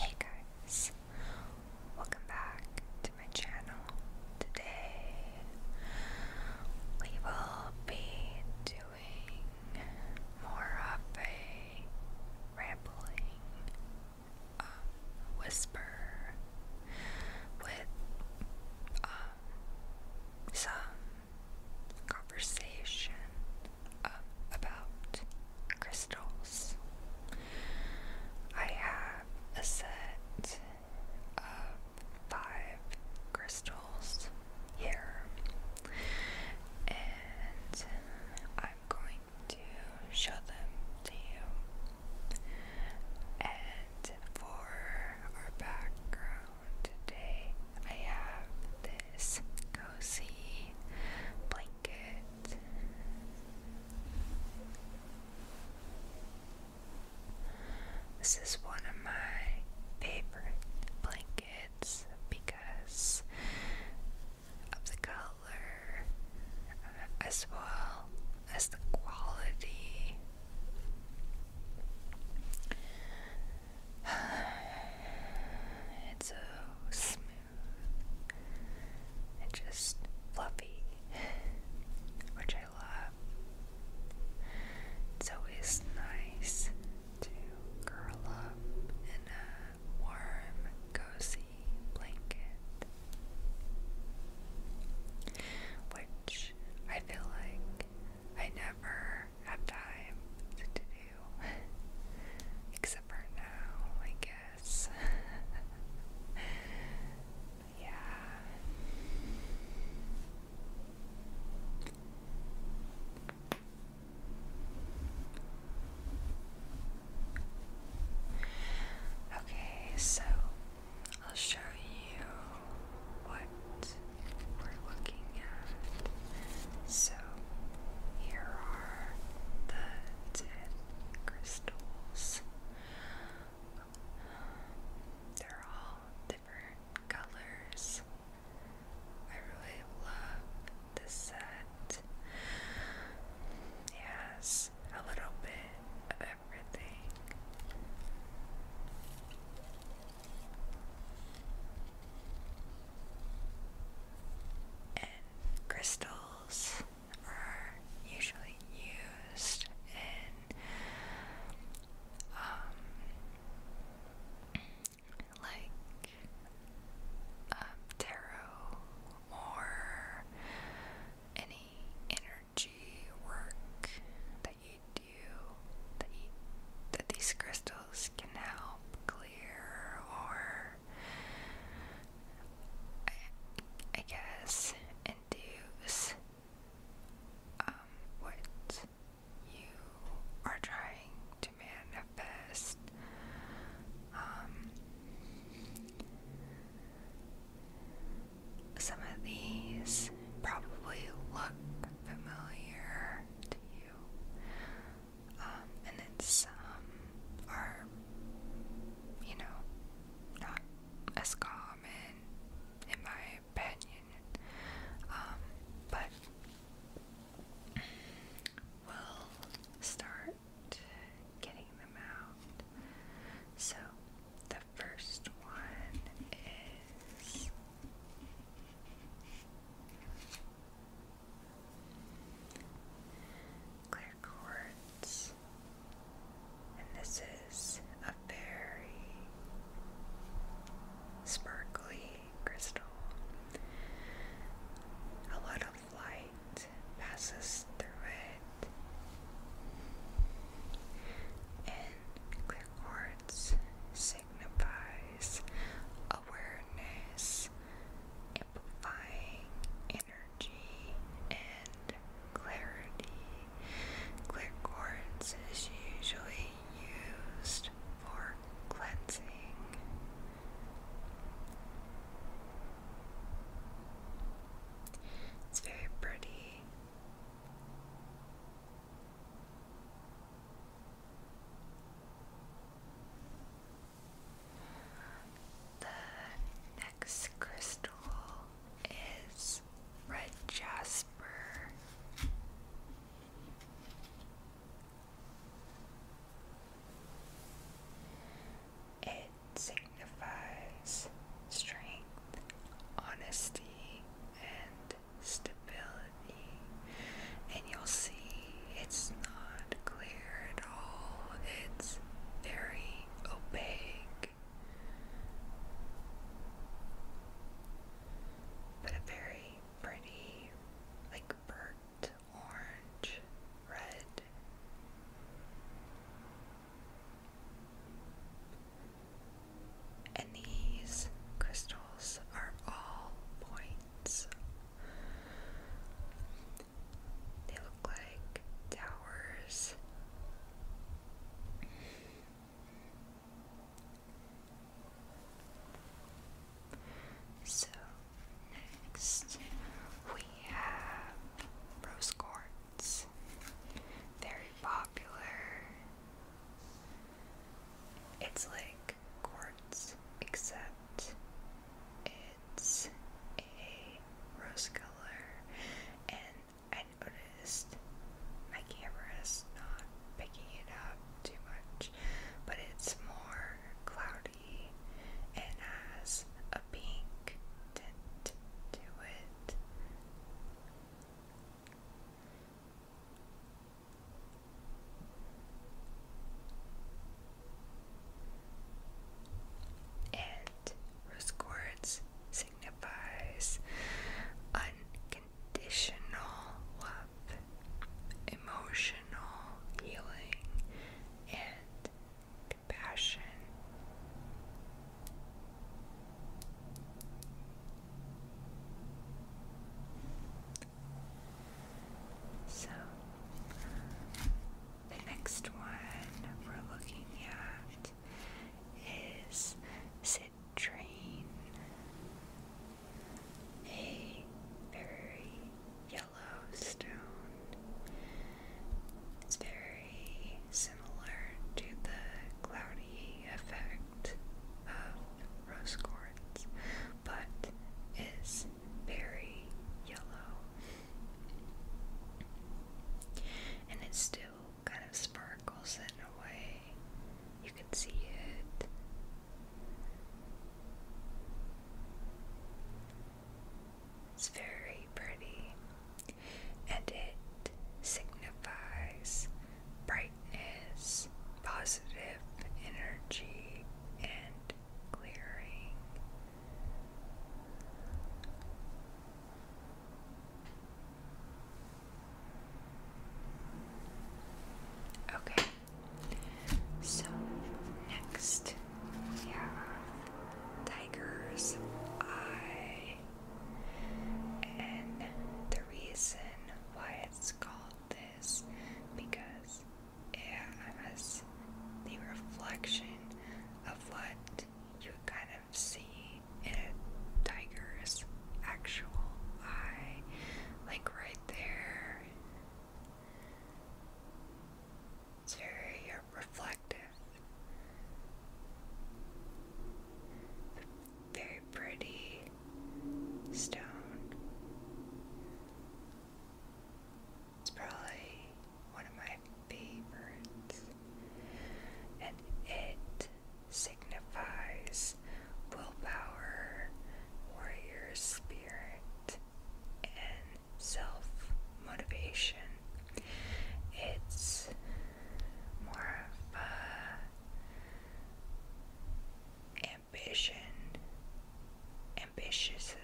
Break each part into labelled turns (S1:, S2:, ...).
S1: Hey guys, welcome back to my channel. Today we will be doing more of a rambling um, whisper with um, some conversation um, about crystals. I have a set of five crystals here, and I'm going to show them to you. And for our background today, I have this cozy blanket. This is one of my favorite blankets because of the color uh, as well as the quality. It's so smooth and just fluffy, which I love. It's always nice to curl up in a warm, cozy blanket which I feel like I never have time to do, except for now, I guess. yeah. Okay, so I'll show you what we're looking at. So, here are the 10 crystals. They're all different colors. I really love this set. It a little bit of everything. And crystals are usually used in um, like um, tarot or any inner G work that you do, that, that these crystals can help clear or, I, guess, induce um, what you are trying to manifest. Um, some of these probably look familiar to you, um, and then some are, you know, not as common in my opinion. Um, but we'll start getting them out. So, the first one is clear quartz, and this is a very sparkly crystal. A lot of light passes through it. And clear quartz signifies awareness, amplifying energy, and clarity. Clear quartz is usually used for cleansing. It's very pretty. The next crystal is red jasper. It signifies strength, honesty, and stability. And you'll see it's not clear at all, it's very opaque, but a very pretty, like burnt orange red. And these crystals are all points. They look like towers. So, next we have rose quartz. It's very popular. It's like quartz, except it's a rose color. And I noticed my camera is not picking it up too much, but it's more cloudy and has a pink tint to it. And rose quartz signifies unconditional love, emotional healing, and Passion. So, the next one we're looking at is citrine, a very yellow stone it's very similar to the cloudy effect of rose quartz, but is very yellow. And it still kind of sparkles in a way. You can see it. It's very pretty and it signifies brightness, positive energy, and clearing. Okay, so next we Tiger's Eye. And the reason why it's called this because it has the reflection of what you kind of see in a tiger's actual eye, like right there. It's very reflective. Very pretty stone. It's probably one of my favorites. And it signifies willpower, warrior spirit, and self motivation. It's more of a ambition, ambitious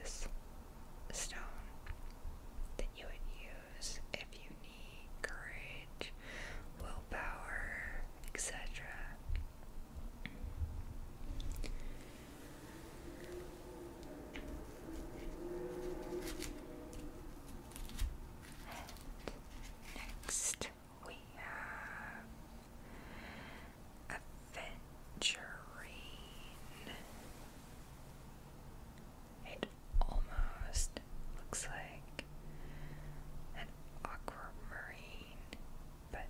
S1: stone that you would use if you need courage, willpower, etc next we have Aventurine. It almost looks like an aquamarine, but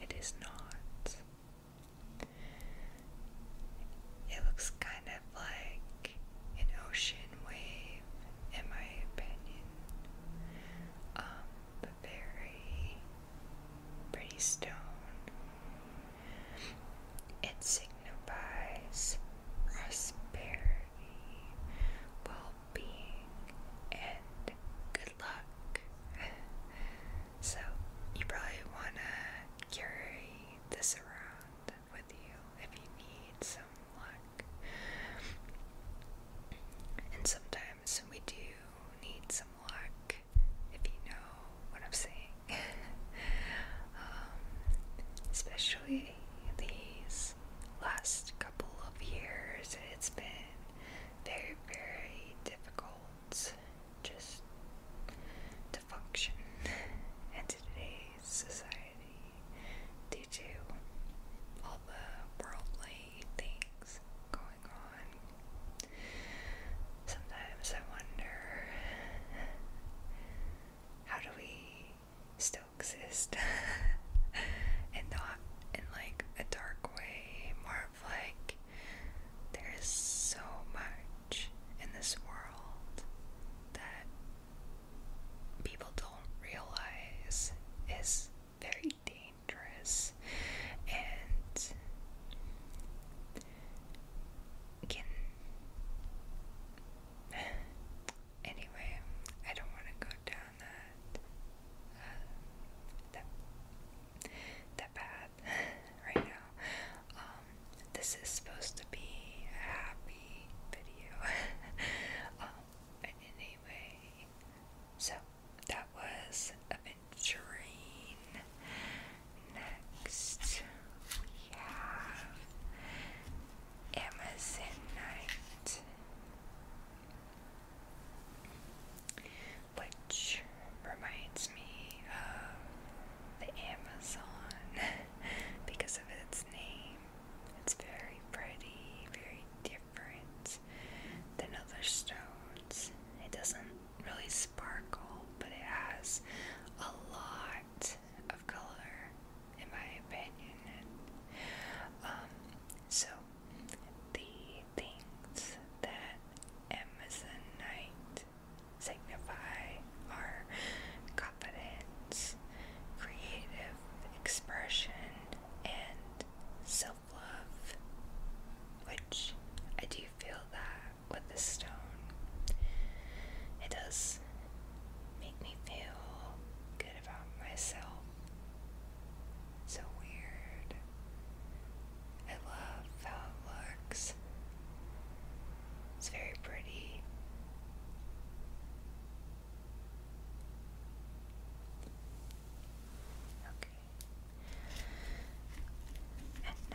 S1: it is not. It looks kind of like an ocean wave, in my opinion. Um, but very pretty stone. It signifies prosperity, well being, and good luck. so, you probably want to carry this around with you if you need some luck. And sometimes we do need some luck, if you know what I'm saying. Um, especially these last couple of years, it's been very, very difficult just to function in today's society due to all the worldly things going on. Sometimes I wonder how do we still exist and not in like a dark way, more of like there's so much in this world that people don't realize is very dangerous and can anyway I don't want to go down that uh, that bad right now. Um, this is supposed to be a happy video. Um, anyway, so that was Aventurine. Next, we have Amazon Night, which reminds me of the Amazon because of its name. It's very pretty, very different than other stones. It doesn't really sparkle, but it has a lot of color, in my opinion. Um, so the things that Amazonite signify our confidence, creative expression, and self love, which I do feel that with the stone. It does make me feel good about myself. So weird. I love how it looks. It's very pretty. Okay. And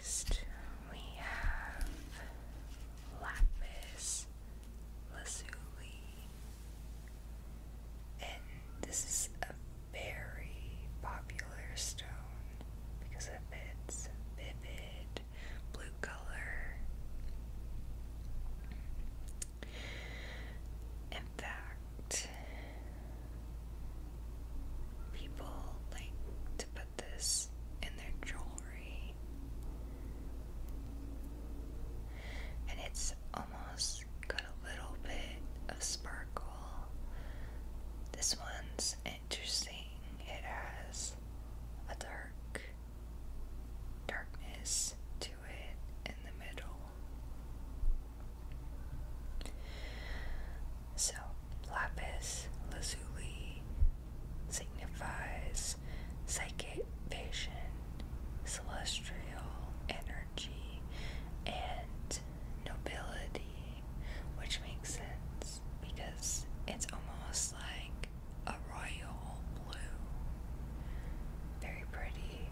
S1: next we have lapis lazuli. And this is a very popular stone because of its vivid blue color. In fact, people like to put this in their jewelry, and it's almost got a little bit of sparkle. This one's interesting. It has a dark darkness to it in the middle. So, lapis lazuli signifies psychic vision, celestial energy, and nobility which makes sense because it's almost like a royal blue. Very pretty.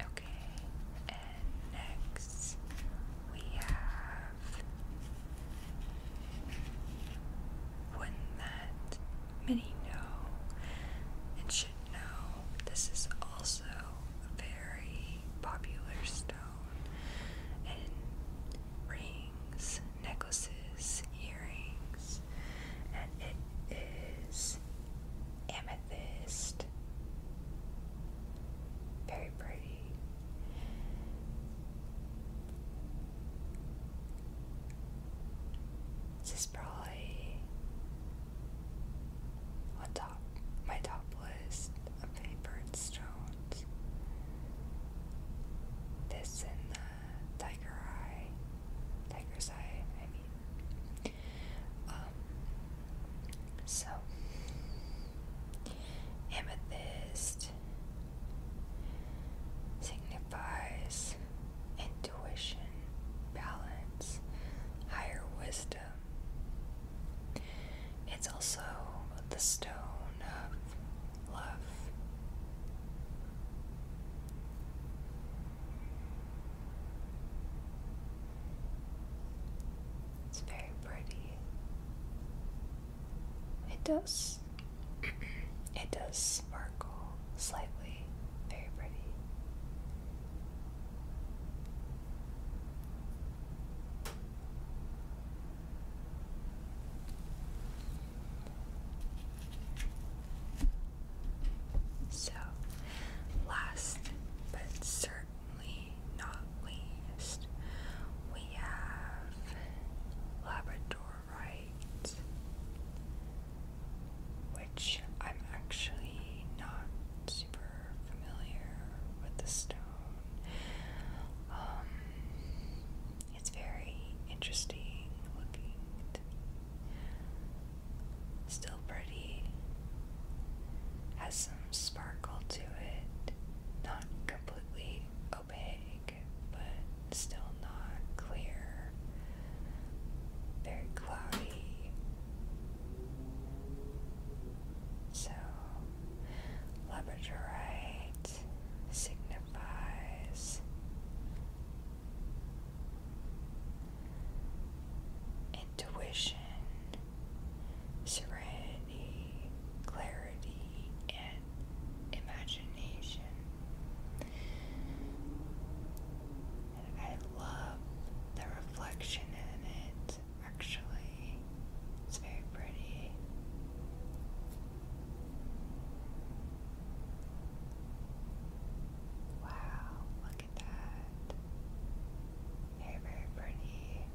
S1: Okay, and next we have would that many know and should know this is also a very popular stone in rings, necklaces, earrings, and it is amethyst. Very pretty. This is probably on top my top list of favorite stones. This and the tiger eye. Tiger's eye, I mean. Um, so amethyst it signifies intuition, balance, higher wisdom. It's also the stone of love. It's very pretty. It does it does sparkle slightly. Very pretty. So, last but certainly not least, we have Labrador right, which I'm actually not super familiar with the stone. Um, it's very interesting looking Still pretty. Has some sparkle to it. Not completely opaque but still not clear, very cloudy. So, labradorite signifies intuition, serenity, clarity the imagination. I love the reflection in it, actually. It's very pretty. Wow, look at that. Very, very pretty.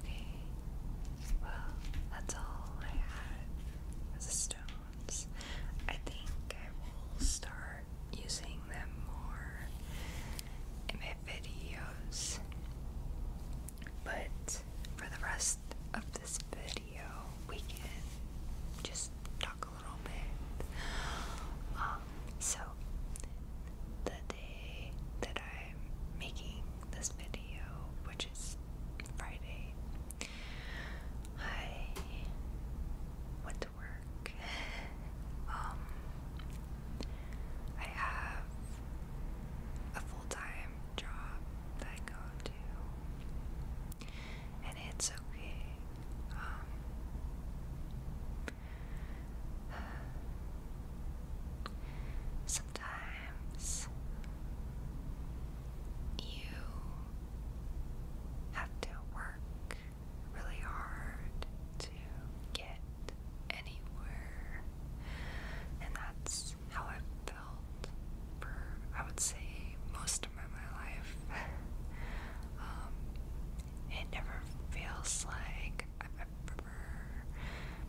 S1: Okay, well, that's all I had as the stones. I think I will start using them more in my videos, but for the rest of this video, we can just talk um, so, the day that I'm making this video, which is Friday, I went to work. Um, I have a full time job that I go to and it's okay. Um, sometimes you have to work really hard to get anywhere, and that's how I felt for I would say most in my life. Um, it never feels like I've ever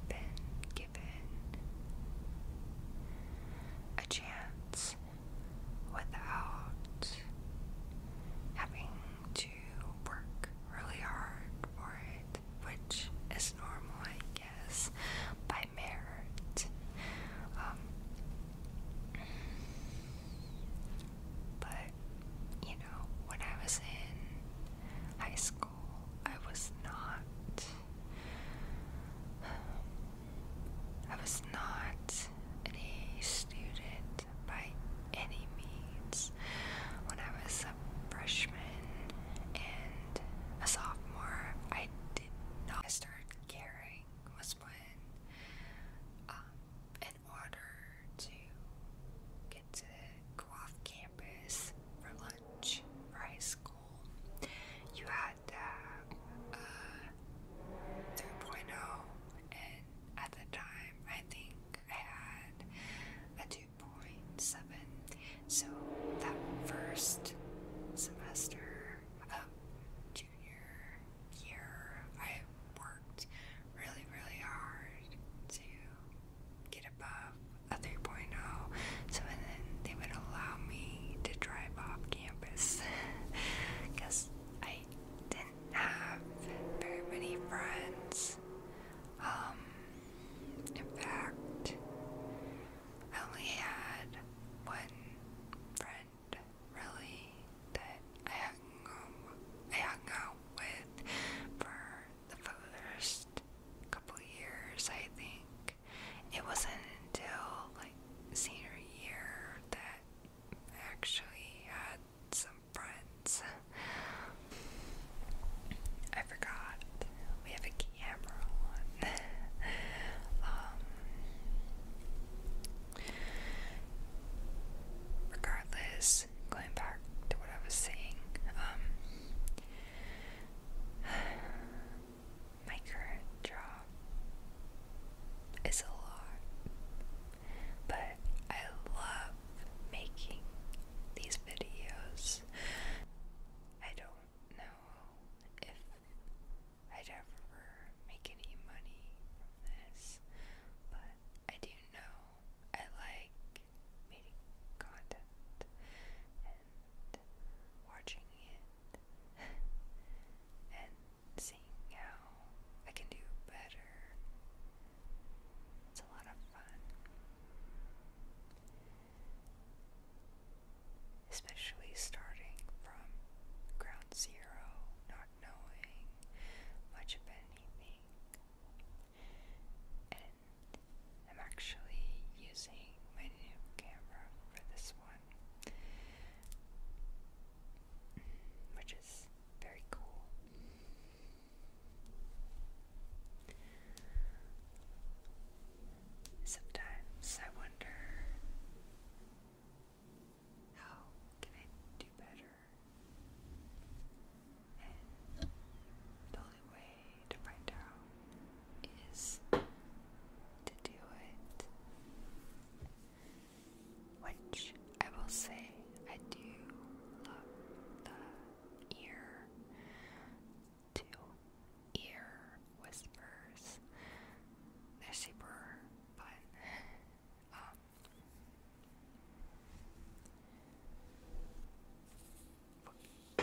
S1: been given a chance without having to work really hard for it, which is normal, I guess, by merit. Um, but, you know, when I was in high school, I was not. I was not an A student by any means. When I was a freshman and a sophomore, I did not. I started caring this um, in order to get to go off campus for lunch high school. You had a 3.0 and at the time I think I had a 2.7 so that first semester of junior year, I worked really, really hard to get above a 3.0, so then they would allow me to drive off campus because I didn't have very many friends. Um, in fact, I only had one friend really that I hung out, I hung out with for the first couple years, I think. It wasn't until like senior year that I actually had some friends. I forgot we have a camera on. Um, Regardless, going back to what I was saying, um, my current job is a lot, but I love making these videos. I don't know if I'd ever make any money from this, but I do know I like making content and watching it and seeing how I can do better. It's a lot of fun. Especially starting from ground zero, not knowing much of anything. And I'm actually using my camera for this one, which is very cool. Sometimes I wonder how can I do better? And the only way to find out is to do it. Which I will say, I do love the ear to ear whispers. They're super but um, I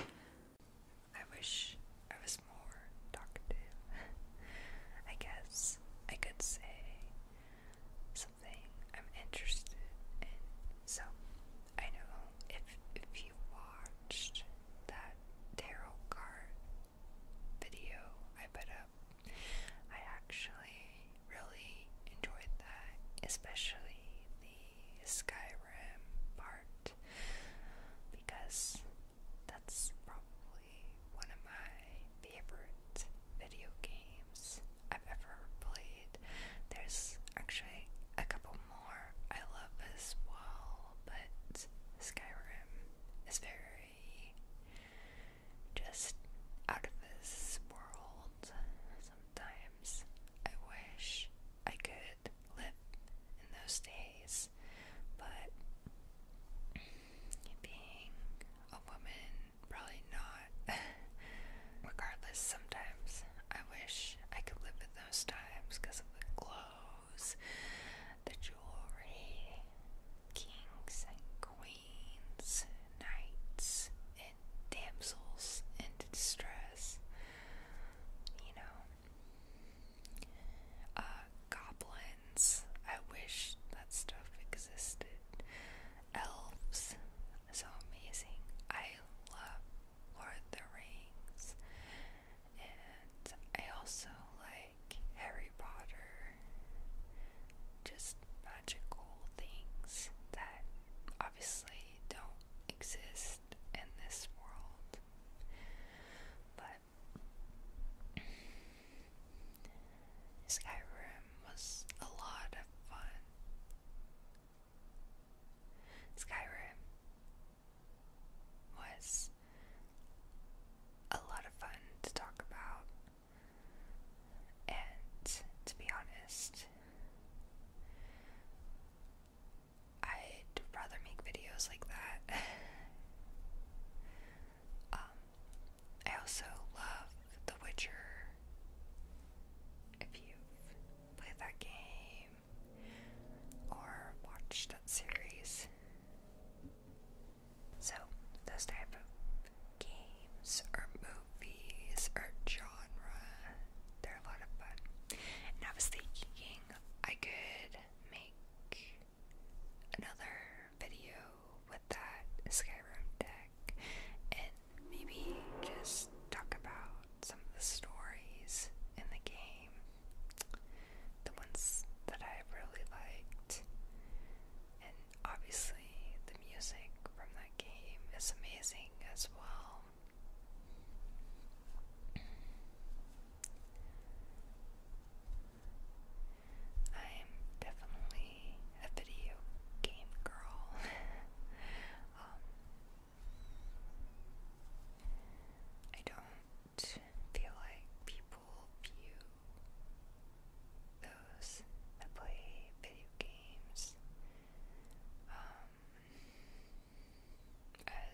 S1: wish I was more talkative. I guess I could say something I'm interested in. So I know if if you watched that tarot card video I put up. I actually really enjoyed that, especially the Skyrim part, because that's probably one of my favorite video games I've ever played. There's actually a couple more I love as well, but Skyrim is very just out of this world. Sometimes I wish I could live in those days, but being a woman, probably not. Regardless, sometimes I wish I could live in those times because of the glow the jewelry, kings and queens, knights and damsels in distress, you know, uh, goblins. I wish that stuff existed. Elves, so amazing. I love Lord of the Rings. And I also like Harry Potter, just magical things that obviously don't exist in this world. But Skyrim was a lot of fun. Skyrim was a lot of fun to talk about. And to be honest, I'd rather make videos like that. Um, I also love The Witcher. If you've played that game or watched that series, so, those type of games or movies or genre, they're a lot of fun. And I was thinking I could make another video with that Skyrim deck and maybe just talk about some of the stories in the game the ones that I really liked. And obviously, the music from that game is amazing as well. I'm definitely a video game girl. Um, I don't feel like people view those that play video games um,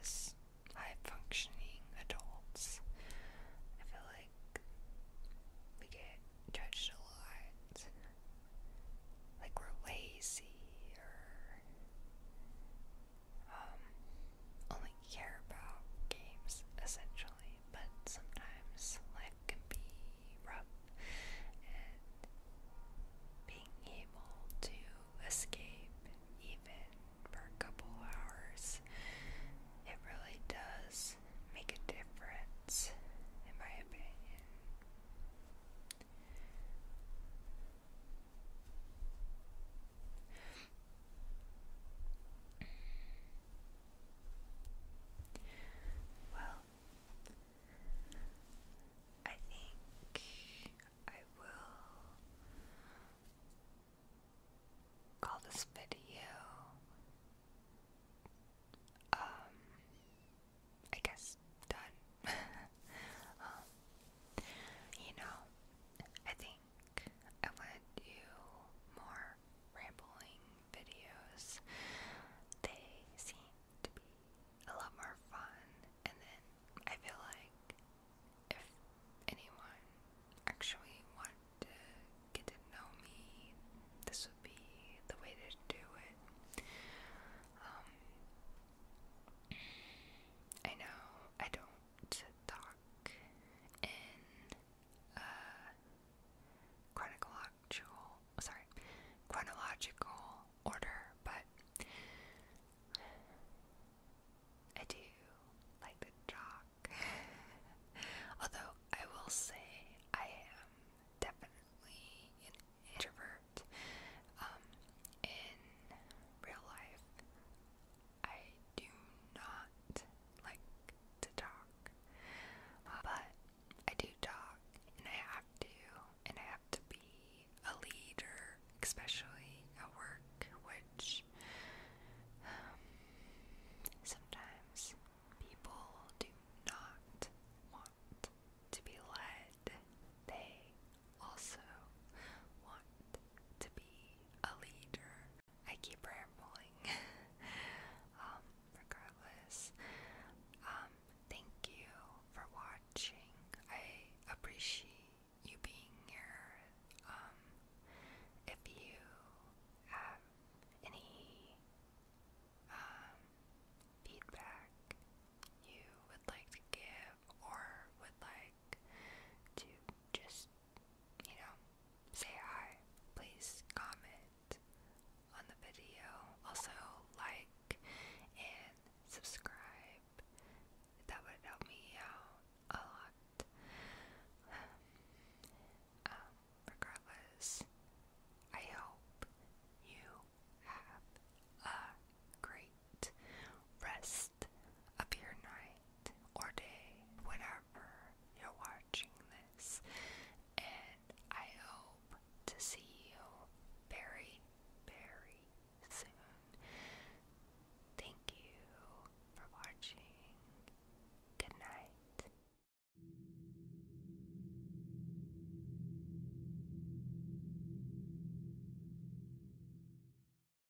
S1: as high functioning adults. I feel like we get judged a lot. Like we're lazy or um, only care about games essentially, but sometimes life can be rough, and being able to escape even for a couple hours, it really does make a difference, in my opinion. Well, I think I will call this video. Um, I guess done. Um, you know, I think I want do more rambling videos. They seem to be a lot more fun, and then I feel like if anyone actually wanted to get to know me, this would be the way to do it. Um, I know I don't talk in chronological, sorry, chronological order, but I do like the talk. Although I will say I am definitely an introvert um, in real life. I do not like to talk, but I do talk, and I have to, and I have to be a leader, especially at work, which um, sometimes people do not want to be led. They also want to be a leader. I keep rambling. Um, regardless, um, thank you for watching. I appreciate you being here. Um, if you have any feedback you would like to give or would like to just you know, say hi. Please comment on the video. Also, like and subscribe. That would help me out a lot. Um, um, regardless, I hope you have a great rest of your night or day, whenever you're watching this, and I hope to see you very, very soon. Thank you for watching. Good night.